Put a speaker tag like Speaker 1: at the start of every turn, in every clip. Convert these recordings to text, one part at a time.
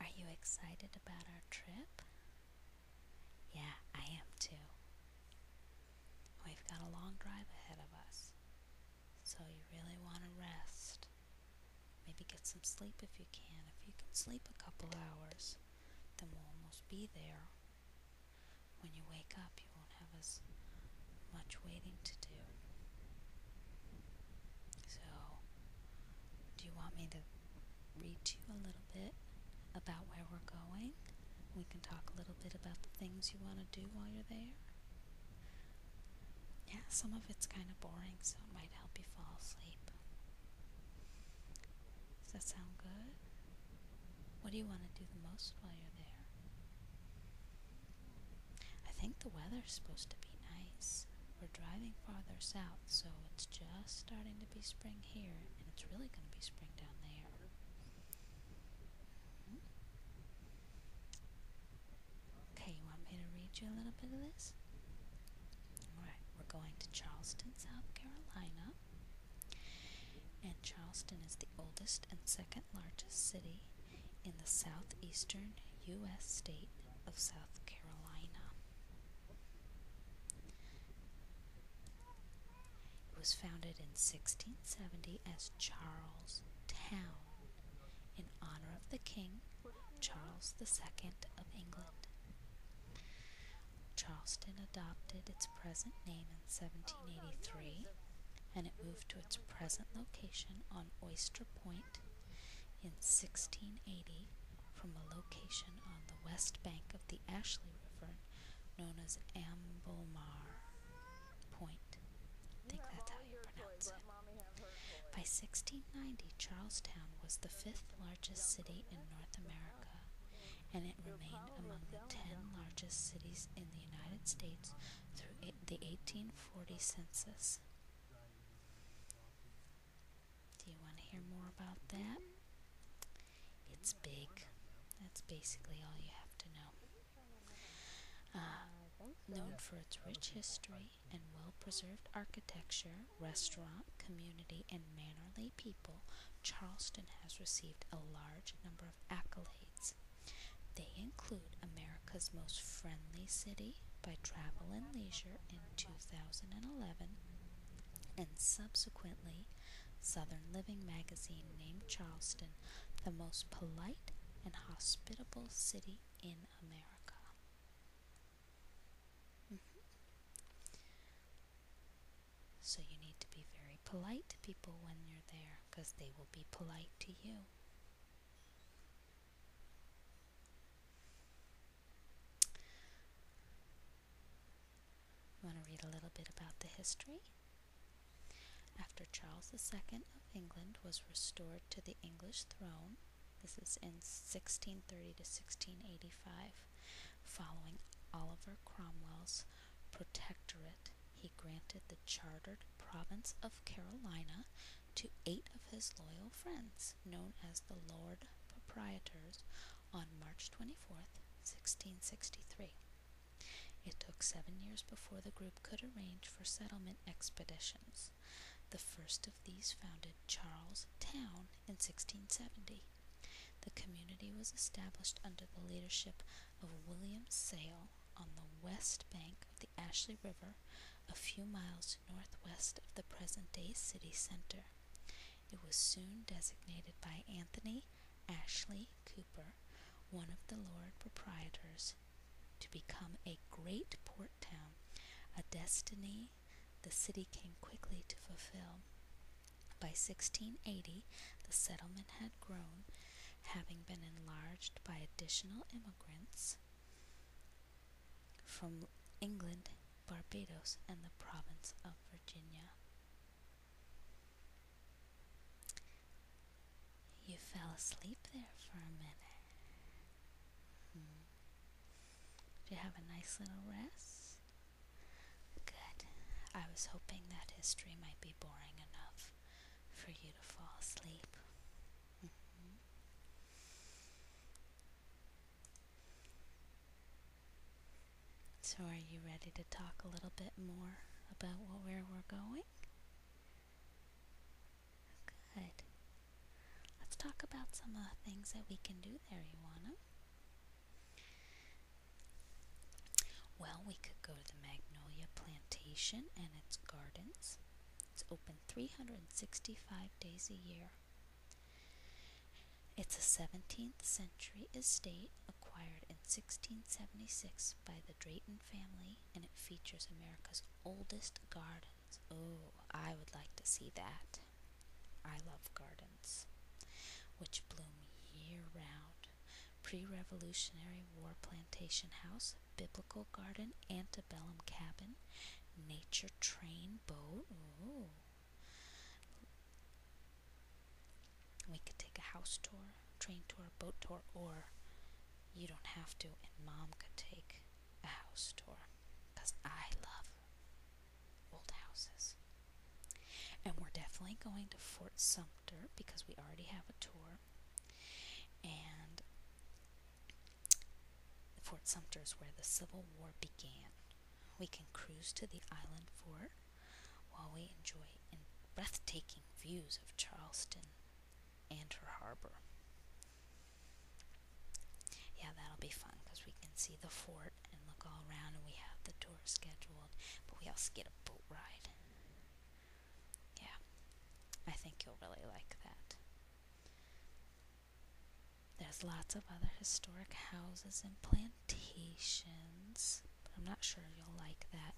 Speaker 1: Are you excited about our trip? Yeah, I am too. We've got a long drive ahead of us, so you really want to rest. Maybe get some sleep if you can. If you can sleep a couple hours, then we'll almost be there. When you wake up, you won't have us much waiting to do. So, do you want me to read to you a little bit about where we're going? We can talk a little bit about the things you want to do while you're there. Yeah, some of it's kind of boring, so it might help you fall asleep. Does that sound good? What do you want to do the most while you're there? I think the weather's supposed to be nice. We're driving farther south, so it's just starting to be spring here, and it's really going to be spring down there. Mm-hmm. Okay, you want me to read you a little bit of this? Alright, we're going to Charleston, South Carolina. And Charleston is the oldest and second largest city in the southeastern U.S. state of South Carolina. It was founded in 1670 as Charles Town in honor of the King Charles II of England. Charleston adopted its present name in 1783 and it moved to its present location on Oyster Point in 1680 from a location on the west bank of the Ashley River known as Amblemar Point. I think that's how you pronounce it. By 1690, Charlestown was the fifth largest city in North America, and it remained among the ten largest cities in the United States through the 1840 census. Do you want to hear more about that? It's big. That's basically all you have to know. Uh, known for its rich history and well preserved architecture, restaurant, community, and mannerly people, Charleston has received a large number accolades. They include America's Most Friendly City by Travel and Leisure in 2011, and subsequently, Southern Living magazine named Charleston the most polite and hospitable city in America. So you need to be very polite to people when you're there because they will be polite to you. I want to read a little bit about the history? After Charles II of England was restored to the English throne, this is in 1630 to 1685, Following Oliver Cromwell's protectorate, he granted the chartered province of Carolina to eight of his loyal friends, known as the Lord Proprietors, on March 24, 1663. It took seven years before the group could arrange for settlement expeditions. The first of these founded Charles Town in 1670. The community was established under the leadership of William Sale on the west bank of the Ashley River, a few miles northwest of the present-day city center. It was soon designated by Anthony Ashley Cooper, one of the Lord proprietors, to become a great port town, a destiny the city came quickly to fulfill. By 1680 the settlement had grown, having been enlarged by additional immigrants from England, Barbados, and the province of Virginia. You fell asleep there for a minute. Hmm. Did you have a nice little rest? Good. I was hoping that history might be boring enough for you to fall asleep. Mm-hmm. So, are you ready to talk a little bit more about where we're going? Good. Let's talk about some of uh, the things that we can do there, you well, we could go to the Magnolia Plantation and its gardens. It's open 365 days a year. It's a 17th century estate acquired in 1676 by the Drayton family and it features America's oldest gardens. Oh, I would like to see that. I love gardens, which bloom year round. Pre Revolutionary War plantation house, biblical garden, antebellum cabin, nature train boat. We could take a house tour, train tour, boat tour, or you don't have to, and mom could take a house tour. Because I love old houses. And we're definitely going to Fort Sumter because we already have a tour. And Fort Sumter is where the Civil War began. We can cruise to the island for while we enjoy breathtaking views of Charleston and her harbor. Yeah, that'll be fun because we can see the fort and look all around, and we have the tour scheduled, but we also get a boat ride. Yeah, I think you'll really like that. There's lots of other historic houses and plantations, but I'm not sure you'll like that.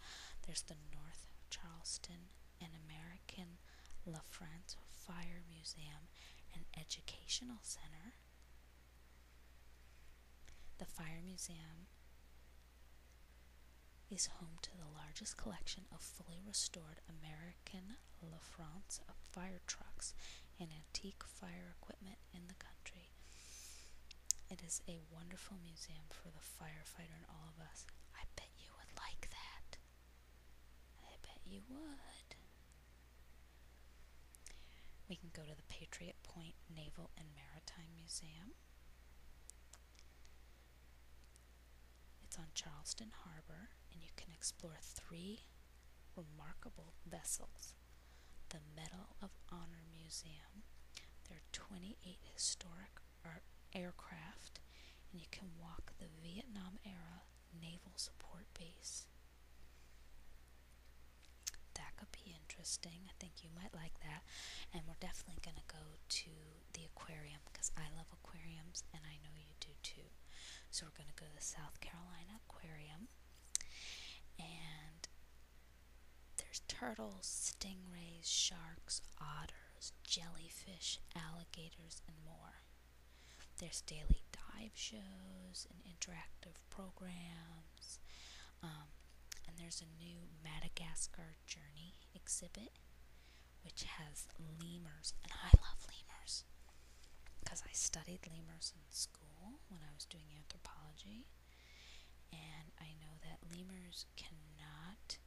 Speaker 1: There's the North Charleston and American La France Fire Museum and Educational Center. The Fire Museum is home to the largest collection of fully restored American La France fire trucks and antique fire equipment in the country. It is a wonderful museum for the firefighter in all of us. I bet you would like that. I bet you would. We can go to the Patriot Point Naval and Maritime Museum. It's on Charleston Harbor, and you can explore three remarkable vessels. The Medal of Honor Museum. There are 28 historic aircraft and you can walk the Vietnam era naval support base. That could be interesting. I think you might like that. And we're definitely going to go to the aquarium because I love aquariums and I know you do too. So we're going to go to the South Carolina Aquarium and there's turtles, stingrays, sharks, otters jellyfish, alligators, and more. There's daily dive shows and interactive programs. Um, and there's a new Madagascar Journey exhibit, which has lemurs. And I love lemurs because I studied lemurs in school when I was doing anthropology. And I know that lemurs cannot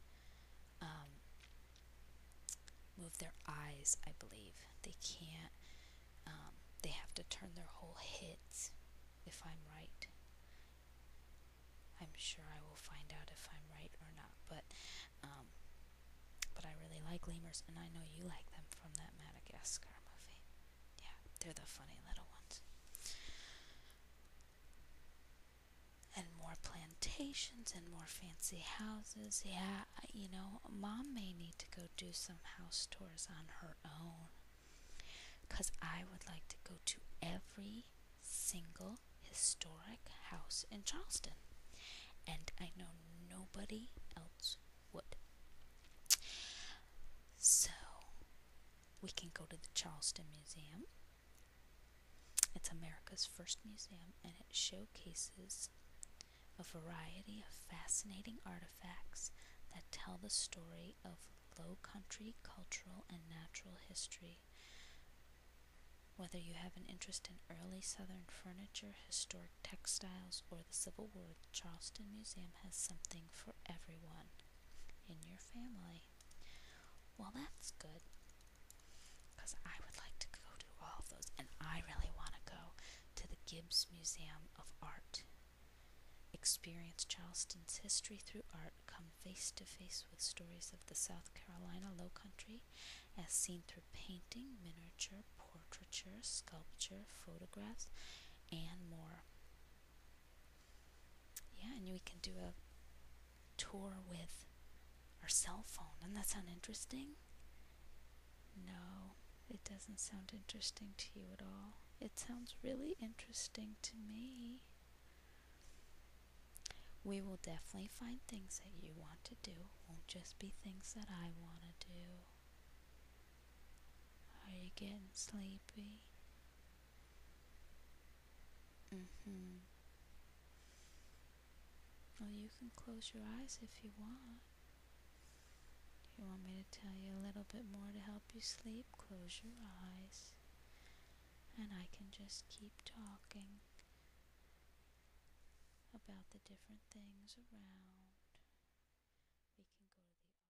Speaker 1: um, move their eyes, I believe. They can't, um, they have to turn their whole heads, if I'm right. I'm sure I will find out if I'm right or not, but, um, but I really like lemurs, and I know you like them from that Madagascar movie. Yeah, they're the funny little ones and more plantations and more fancy houses. Yeah, you know, mom may need to go do some house tours on her own. Because I would like to go to every single historic house in Charleston. And I know nobody else would. So, we can go to the Charleston Museum. It's America's first museum and it showcases a variety of fascinating artifacts that tell the story of low country cultural and natural history. Whether you have an interest in early southern furniture, historic textiles, or the Civil War, the Charleston Museum has something for everyone in your family. Well, that's good. Because I would like to go to all of those, and I really want to go to the Gibbs Museum of Art. Experience Charleston's history through art. Come face to face with stories of the South Carolina Lowcountry as seen through painting, miniature, portraiture, sculpture, photographs, and more. Yeah, and we can do a tour with our cell phone. Doesn't that sound interesting? No, it doesn't sound interesting to you at all. It sounds really interesting to me. We will definitely find things that you want to do. won't just be things that I want to do. Are you getting sleepy? Mm-hmm. Well, you can close your eyes if you want. You want me to tell you a little bit more to help you sleep? Close your eyes. And I can just keep talking about the different things around. We can go to the